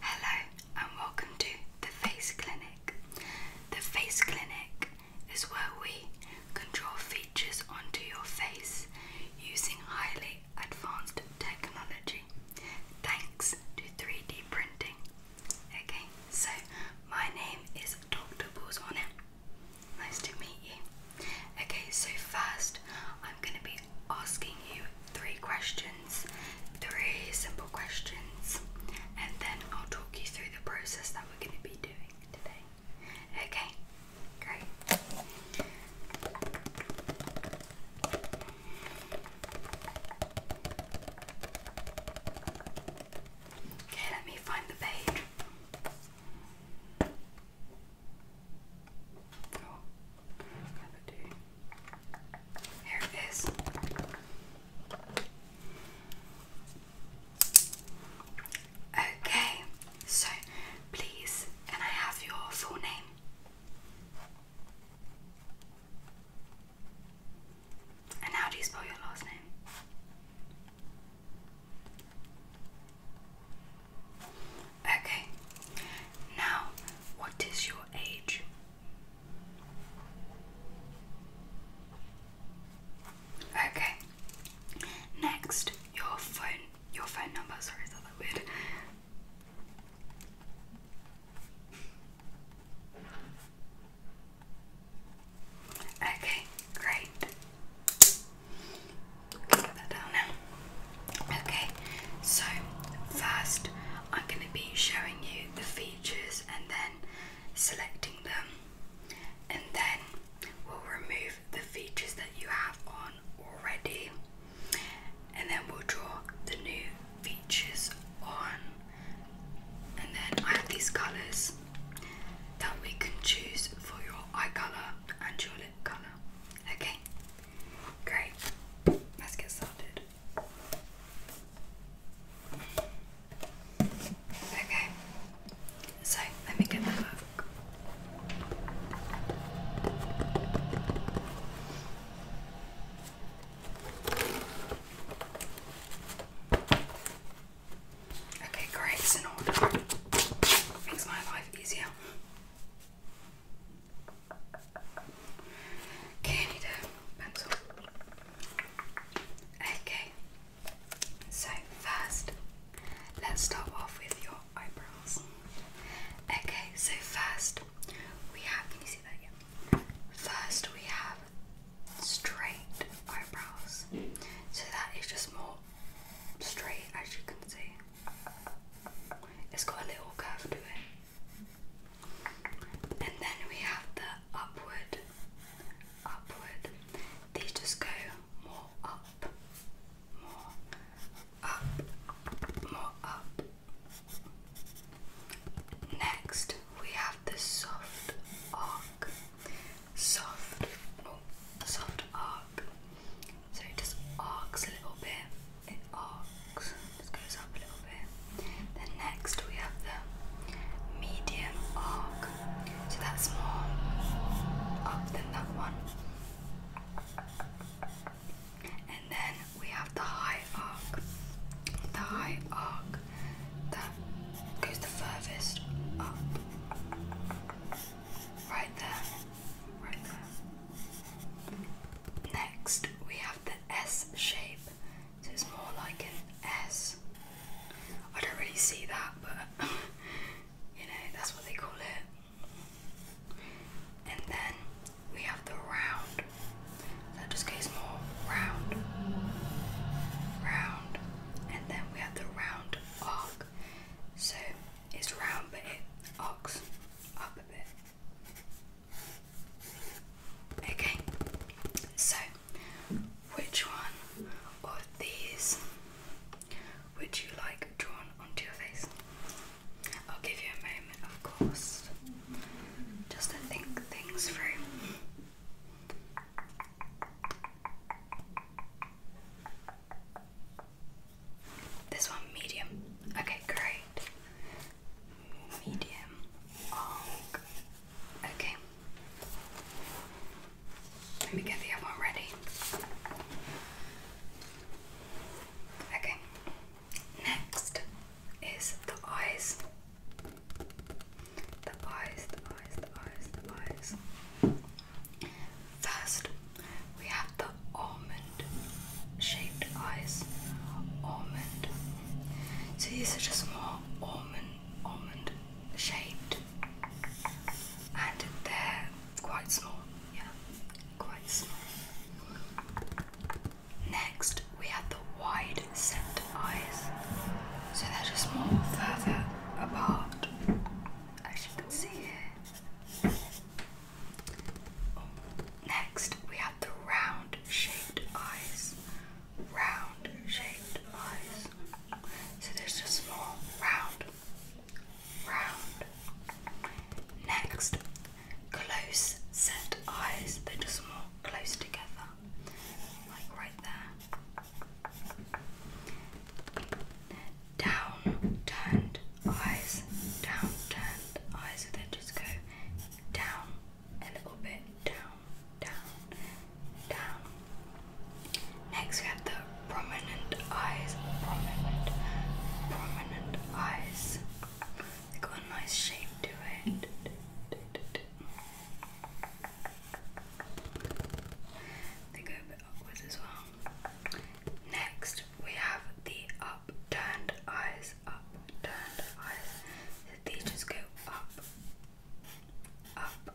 Hello and welcome to the Face Clinic. The Face Clinic is where we control features onto your face using highly advanced technology thanks to 3D printing. Okay, so my name is Dr. Balls Nice to meet you. Okay, so first I'm going to be asking you three questions, three simple questions, and then I'll talk you through the process that we're going to be doing today. Okay, great. Okay, let me find the page. Oh, do. There it is. Okay, so please, can I have your full name? And how do you spell your last name? Okay, now what is your age? Okay. Next, your phone your phone number, sorry, is that weird? Okay, great. Put that down now. Okay, so first I'm going to be showing you the features and then selecting them, and then we'll remove the features that you have on already, and then we'll draw the new features on. And then I have these colours that we can choose for your eye colour and your lip colour. Okay, great. Let's get started. Okay, so let me get the hook. Okay, great, it's in order. Makes my life easier. Okay, I need pencil. Okay, so first, let's start off with your eyebrows. Okay, so first, we have, can you see that again? First, we have straight eyebrows. So that is just more straight, as you can see. It's got a little curve to it. And then we have the upward, upward. These just go more up, more up, more up. Next, we have the soft arc, soft, oh, soft arc. So it just arcs a little bit it arcs, just goes up a little bit. Then next we have the medium arc, so that's more up than that one. And then we have the high arc, the high arc that goes the furthest up, right there, right there. Next, we have the S shape, so it's more like an S. I don't really see that, but you know, that's what they call it. And then we have the round, that just goes more round, round, and then we have the round arc, so it's round but it arcs up a bit. Okay, so which one of these would you like drawn onto your face? I'll give you a moment, of course, just to think things through. This one medium. Okay, great medium oh, Okay. Let me get the other ready. Okay. Next is the eyes. The eyes, the eyes, the eyes, the eyes. First, we have the almond shaped eyes. Almond. So these are just more almond, almond shaped, and they're quite small. Yeah, quite small. Next, we have the wide set eyes. So they're just more further apart, as you can see here. Next, we the round shaped eyes. Round shaped eyes. So there's a small round. Round. Next, close set eyes. They're just more close together. Like right there. Down turned eyes. Down turned eyes. So they just go down a little bit down, down, down. Next we have the prominent eyes. Prominent, prominent eyes. They got a nice shape to it. They go a bit upwards as well. Next we have the upturned eyes upturned eyes. These just go up, up.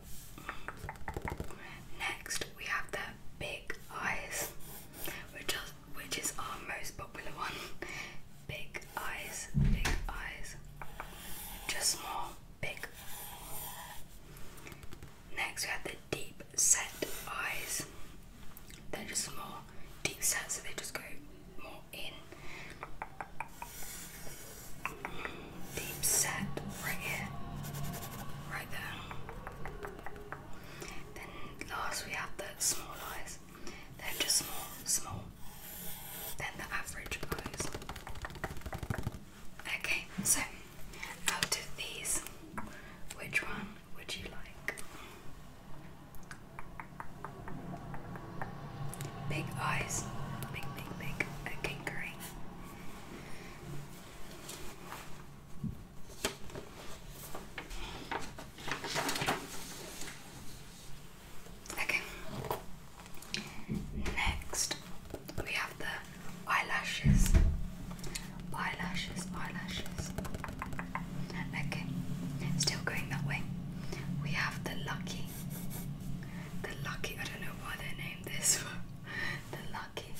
Next, we have the big eyes, which is, which is our most popular one. Big eyes, big eyes, just small, big. Next, we have the deep set eyes. They're just small, deep set, so they just go more in deep set right here, right there. Then last we have the small eyes. they just small, small. Then the average eyes. Okay, so out of these, which one would you like? Big eyes. Big, big, big. A kinkering. Okay. Next, we have the eyelashes. Eyelashes, eyelashes. Okay, still going that way. We have the lucky. The lucky, I don't know why they named this one. The lucky.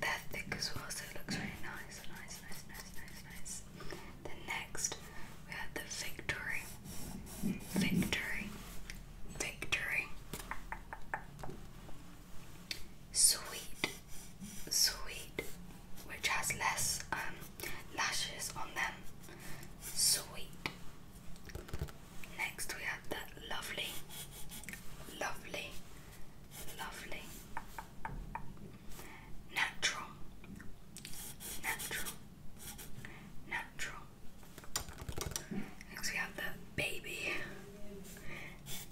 They're thick as well, so it looks really nice. Nice, nice, nice, nice, nice. Then next, we have the victory. Victory. Victory. Sweet. Sweet which has less um, lashes on them. Sweet. Next, we have that lovely, lovely, lovely, natural, natural, natural. Next, we have the baby,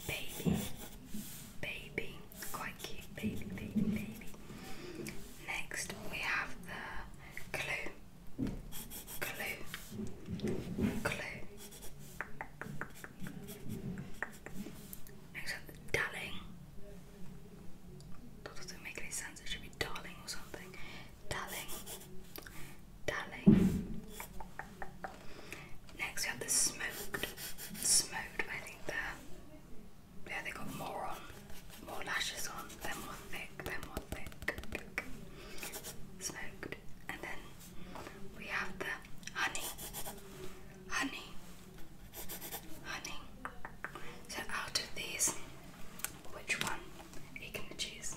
baby baby, quite cute baby, baby, baby. Next we have the clue, clue, clue. Next up, the darling. doesn't make any sense. It should be darling or something. Darling, darling. Next we have the smoked, smoked. I think there. Yeah, they got more on, more lashes on. They're more thick. They're more thick. Smoked, and then we have the honey, honey, honey. So out of these, which one are you gonna choose?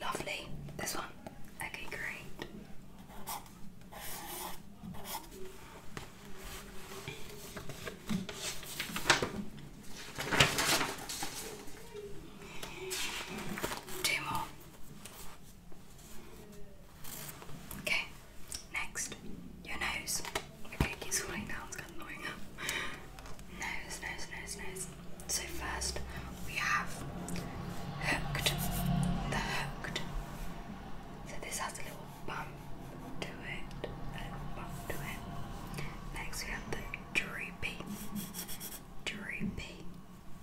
Lovely. This one. Okay, great. Two more. Okay, next, your nose. Okay, keeps falling down, it's kind of annoying. nose, nose, nose, nose. So first we have hooked. The hooked. So this has a little bump to it. A little bump to it. Next we have the droopy. Droopy.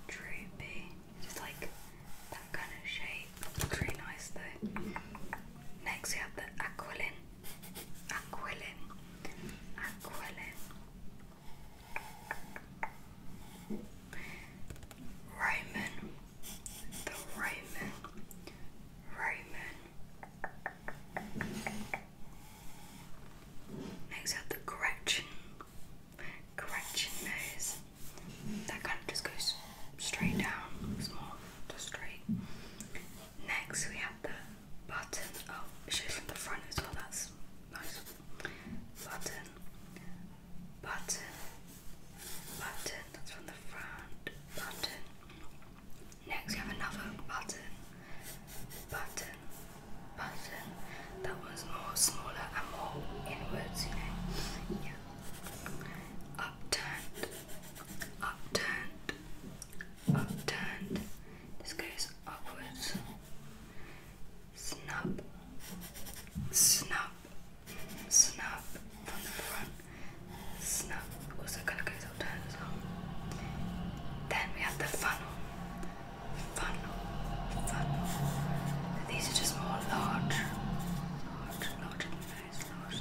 Droopy. Just like that kind of shape. Looks really nice though. Next we have the aquilin. Aquilin. Aquilin. Roman, the Roman, Roman. Next up, the Gretchen, Gretchen nose. That kind of just goes straight down, it's just straight. Next, we have the button. Oh, it shows from the front as well. That's nice. Button, button, button. That's from the front. Button. Next, we have another button, button, button. That one's more smaller and more inwards, you know. Yeah. Upturned, upturned, upturned. This guy is Snap. Snap. Snap on the front. Snap. Also Usa kalakais out there as well. Then we have the funnel. Funnel. Funnel. These are just more large. Large, large, large, large, large.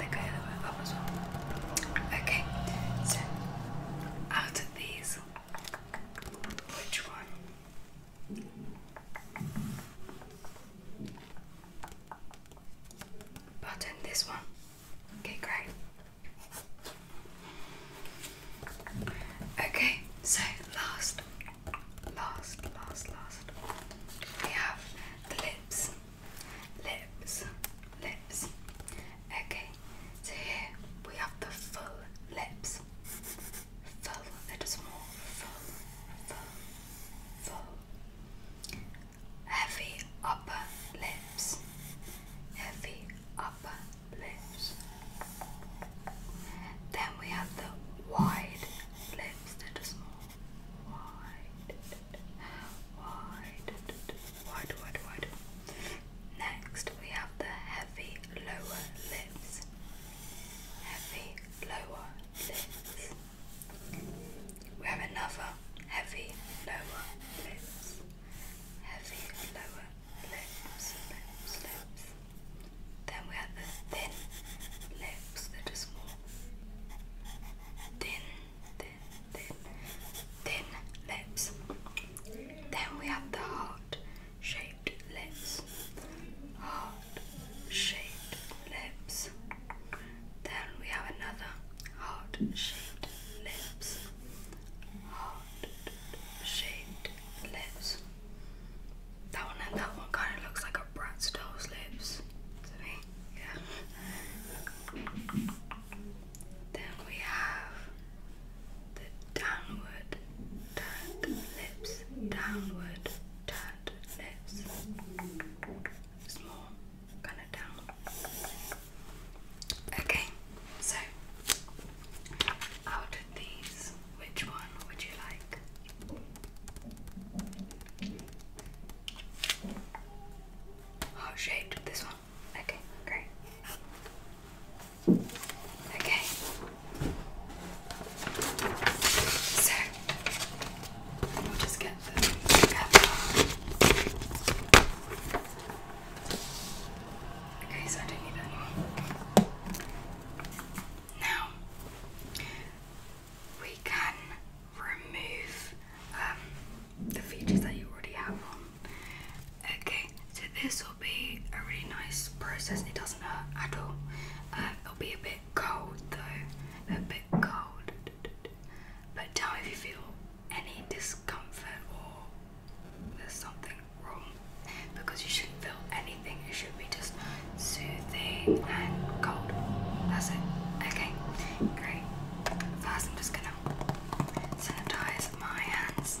They go the way up as well. Okay, out these? Which one? Button this one. Okay, great. Okay, so last, last, last, last, we have the lips, lips, lips. Okay, so here we have the full lips. Full, they're just more full, full, full. Heavy upper lips. Heavy upper lips. Then we have the wide lips, they're just more wide, wide, wide, wide, wide. Next, we have the heavy lower lips. Heavy lower lips. We have another heavy lower lips. Heavy lower lips, Then we have the thin lips that are small. Thin, thin, thin, thin, lips. Then we have the heart-shaped lips. Heart-shaped lips. Then we have another heart-shaped lips. Heart-shaped lips. That one and that one kind of looks like a Bratz doll's lips to me. Yeah. Then we have the downward turned lips, downward turned lips, small, kind of down. Okay, so out of these, which one would you like? Heart shaped, this one. Okay, great. Okay. So, we'll just get the Okay, so don't need that anymore. Now, we can remove um, the features that you already have Okay, so this will be a really nice process. It doesn't hurt at all. Um, it'll be a bit cold though, a bit cold. But tell me if you feel any discomfort or there's something wrong because you shouldn't feel anything. It should be just soothing and cold. That's it. Okay, great. First, I'm just gonna sanitize my hands.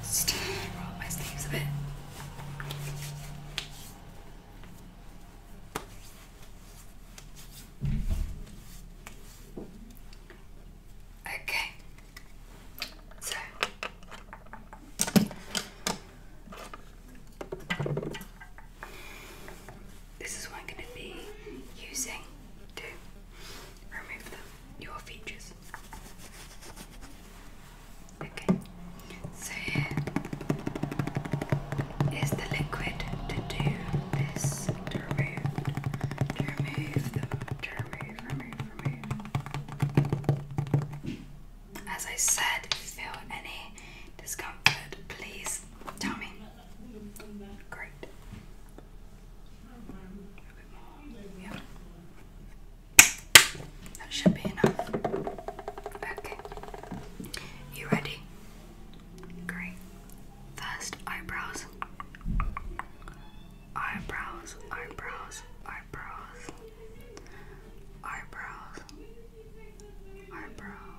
Just roll up my sleeves a bit. Okay. So this is what I'm going to be using to remove your features. Okay, so here is the liquid to do this, to remove, to remove, remove, remove. As I said, if you feel any discomfort, please tell me. Great. Yeah. That should be enough. Okay. You ready? Great. First, eyebrows. Eyebrows, eyebrows, eyebrows. Eyebrows. Eyebrows.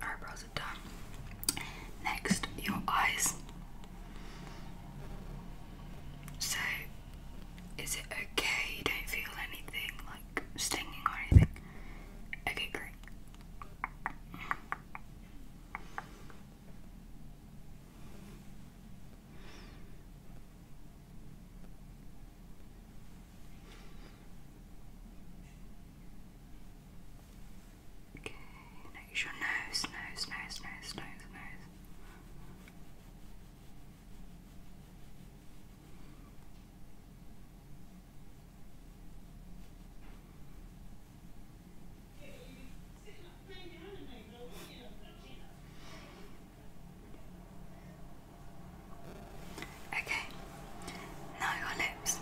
eyebrows are done. Next, your eyes. So, is it okay you don't feel anything like stinging or anything? Okay, great. Okay, notice your nose, nose, nose, nose, nose, nose. Okay, now your lips.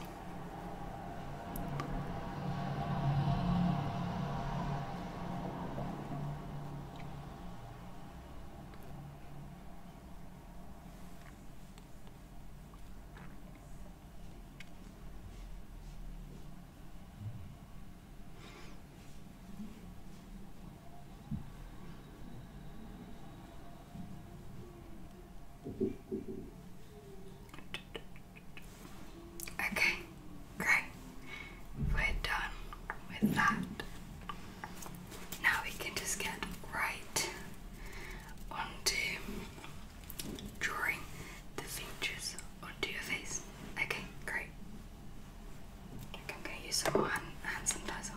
Okay, great. We're done with that. Now we can just get right onto drawing the features onto your face. Okay, great. I'm going to some more hand, hand sanitizer.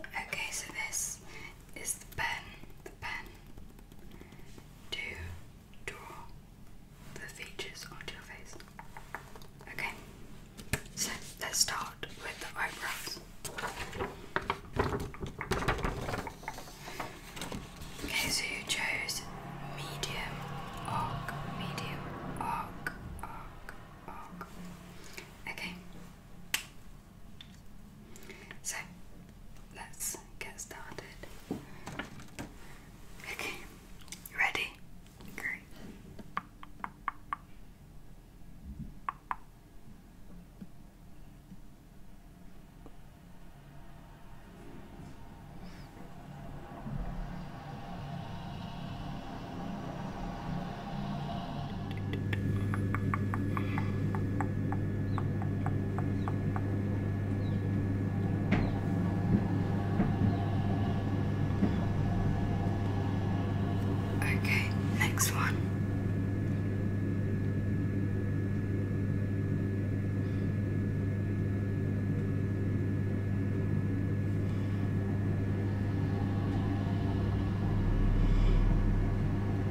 Okay, so this is the pen, the pen to draw the features onto your face. Okay, so let's start with the eyebrows. Okay, so you chose medium arc, medium arc, arc, arc. Okay, so let's get started. Okay, ready? Great. Okay, next one.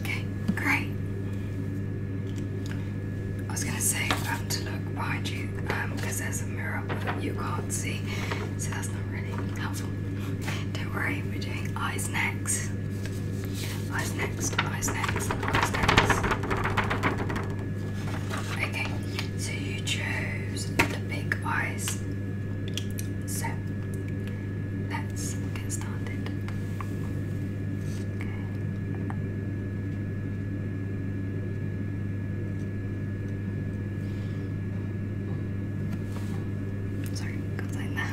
Okay, great. I was gonna say um, to look behind you because um, there's a mirror you can't see, so that's not really helpful. Don't worry, we're doing eyes next. Eyes next, eyes next, eyes next. Okay, so you chose the big eyes. So let's get started. Okay. Sorry, got like that.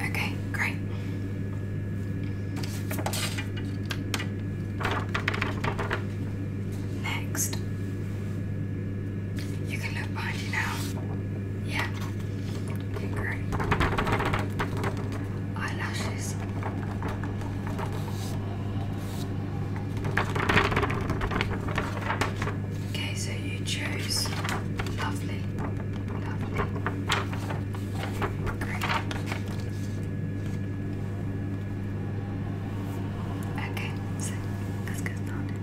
Okay, great. Next. You can look behind you now. Yeah. great. Eyelashes. Okay, so you choose. Lovely, lovely. Great. Okay, so let's get started.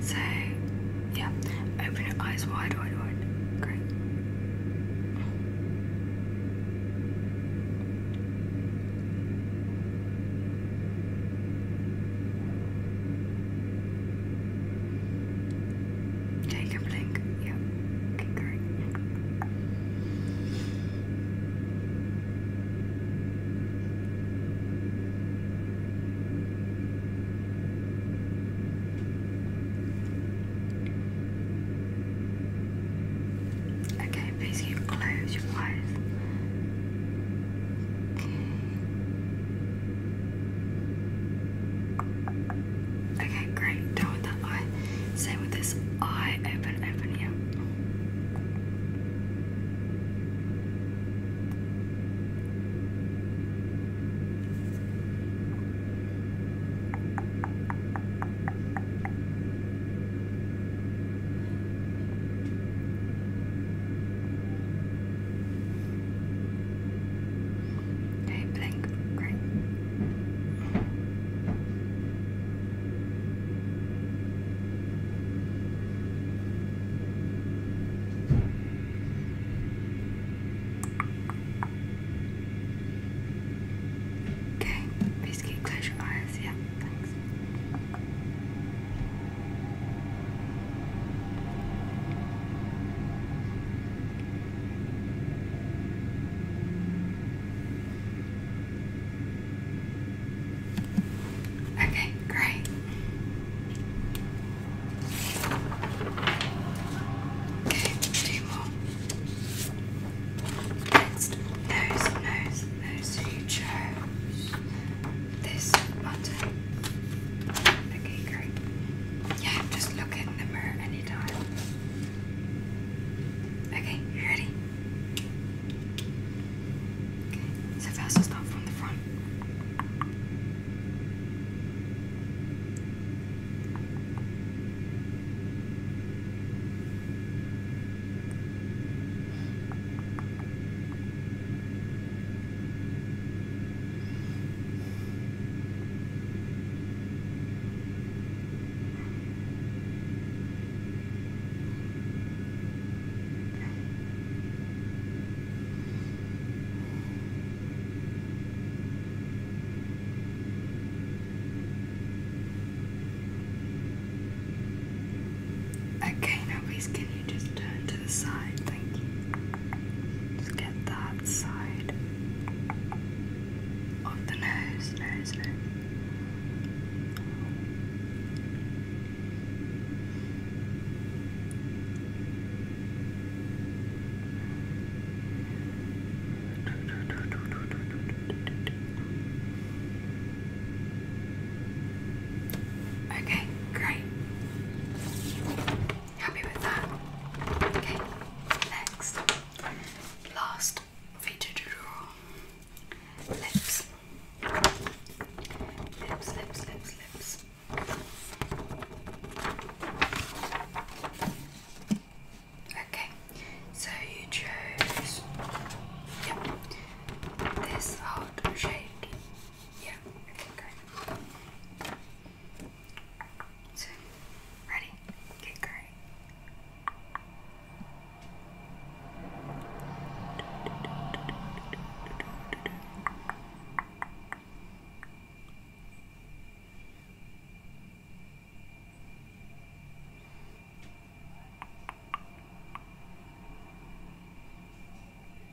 So, yeah, open your eyes wide, wide, wide. Great. Take a blink. Yep. Okay, great. Okay, please you close your eyes. Okay. Okay, great. Done with that eye. Same with this eye. Open, open here. Hey, blink. Great. Okay, please keep close your eyes. Yeah, thanks. Okay, great. Okay, two more. Next, nose, nose, nose. So you chose this button. Okay, great. Yeah, just look in the mirror anytime. Okay, you ready? Okay, so 1st start from the front. Okay, now please can you just turn the side, thank you. Just get that side of the nose, nose, nose. Okay, great. Happy with that? Okay, next. Last feature to draw lips. Lips, lips, lips, lips. Okay, so you chose yeah, this heart shape. Yeah, okay, so, ready? Get curry.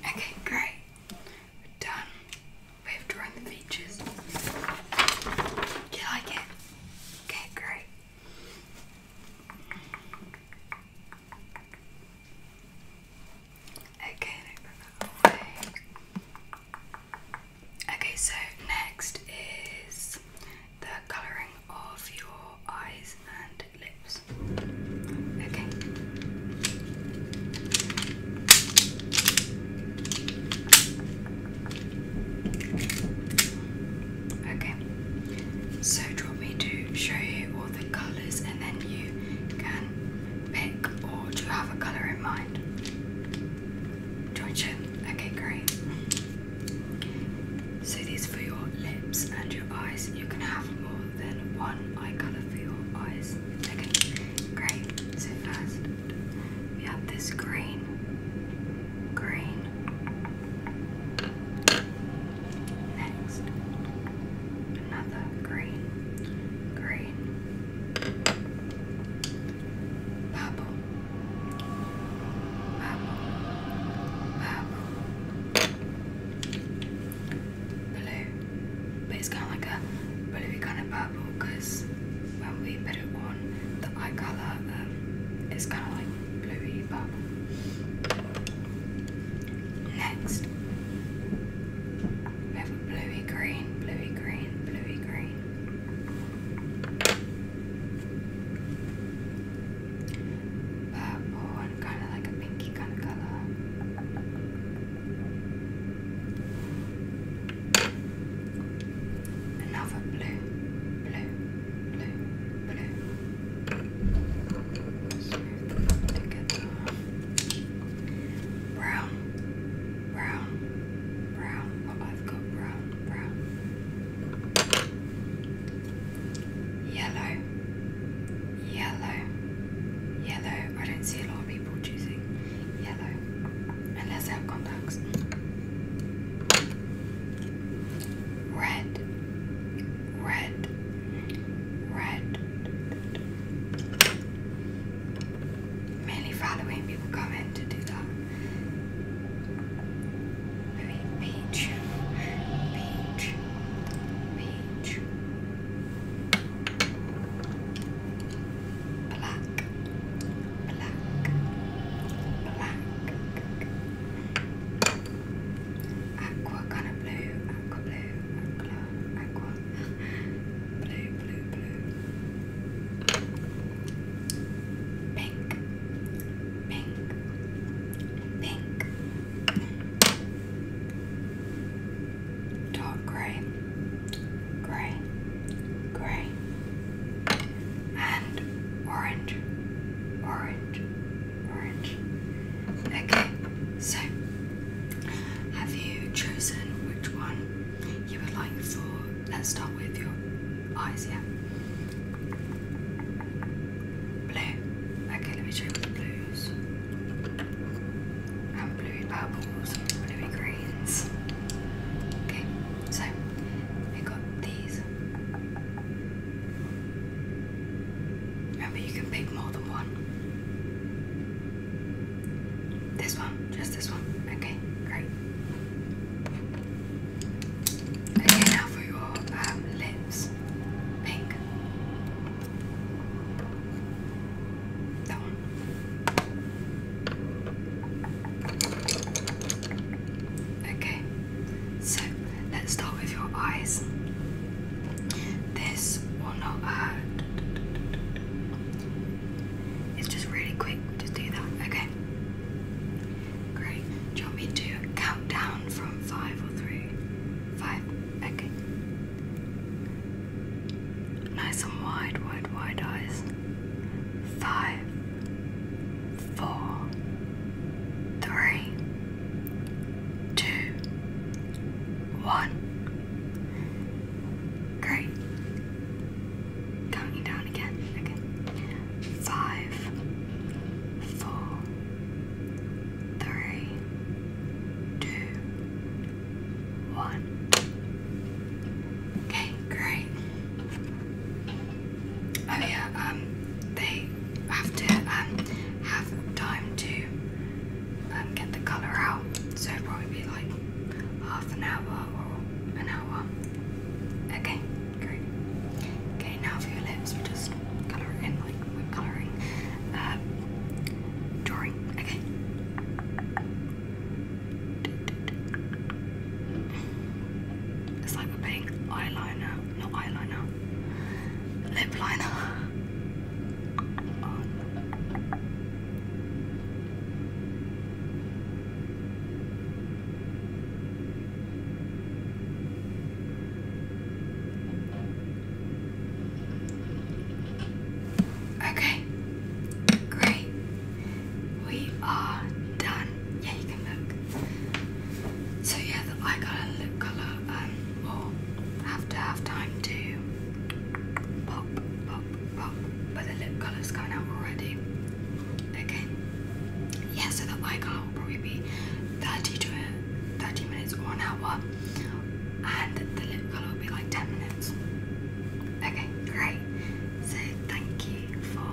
Okay, great. We're done. We've to run the features. You like it? Okay, great. Okay, Okay, so next is the colouring of your eyes and lips. Okay. Okay. So do me to show you all the colours and then you can pick or do you have a colour in mind? mind. Georgian, okay, great. So these for your lips and your eyes. You can have more than one eye colour for your eyes. Okay, great. So first we have this green, green. Next, another green, green. Purple. Purple. Purple. Blue. But it's kind of like a bluey kind of purple when we put it on, the eye colour um, is kind of like bluey purple. Next, have a bluey green, bluey green, bluey green. Purple and kind of like a pinky kind of colour. Another blue, blue, blue, blue. Smooth them together. Brown brown, brown. Well, oh, I've got brown, brown, yellow, yellow, yellow. I don't see a lot of people choosing yellow unless they have contacts. Red, red, red. Mainly following people come in to do that. Maybe peach, peach, peach, black, black, black, aqua kind of blue, aqua blue, aqua, aqua. Blue, blue, blue. Pink, pink, pink. Dark grey, grey, grey. And orange, orange, orange. Okay, so have you chosen which one you would like for, let's start with your eyes, yeah. Blue. Okay, let me show you the blues. And bluey purples, and bluey greens. Okay, so we got these. Remember, you can pick more than one. This one, just this one. Okay, great. Okay, now for your um, lips, pink. That one. Okay, so let's start with your eyes. This will not hurt. It's just really quick Okay, do that. Okay. Great. Do you want me to count down from five or three? Five. Okay. Nice and wide, wide, wide eyes. Five, four, three, two, one. Great counting down again. Okay. Five, four, three, two, one. Okay, great. Oh yeah, um, they have to um have time to um get the colour out, so it probably be like half an hour or an hour. Okay, great. Okay, now for your lips, we just colour it in like we're colouring. Um, drawing, okay. It's like a pink eyeliner, not eyeliner, lip liner Okay, great. We are done. Yeah, you can look. So yeah, the eye colour, lip colour, um, will have to have time to pop, pop pop, but the lip color's gone already. Okay. Yeah, so the eye will probably be 30 to 30 minutes or an hour, and the lip color will be like 10 minutes. Okay, great. So thank you for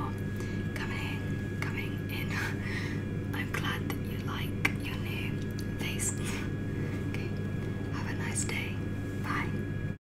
coming coming in. I'm glad that you like your new face. okay, have a nice day. Bye.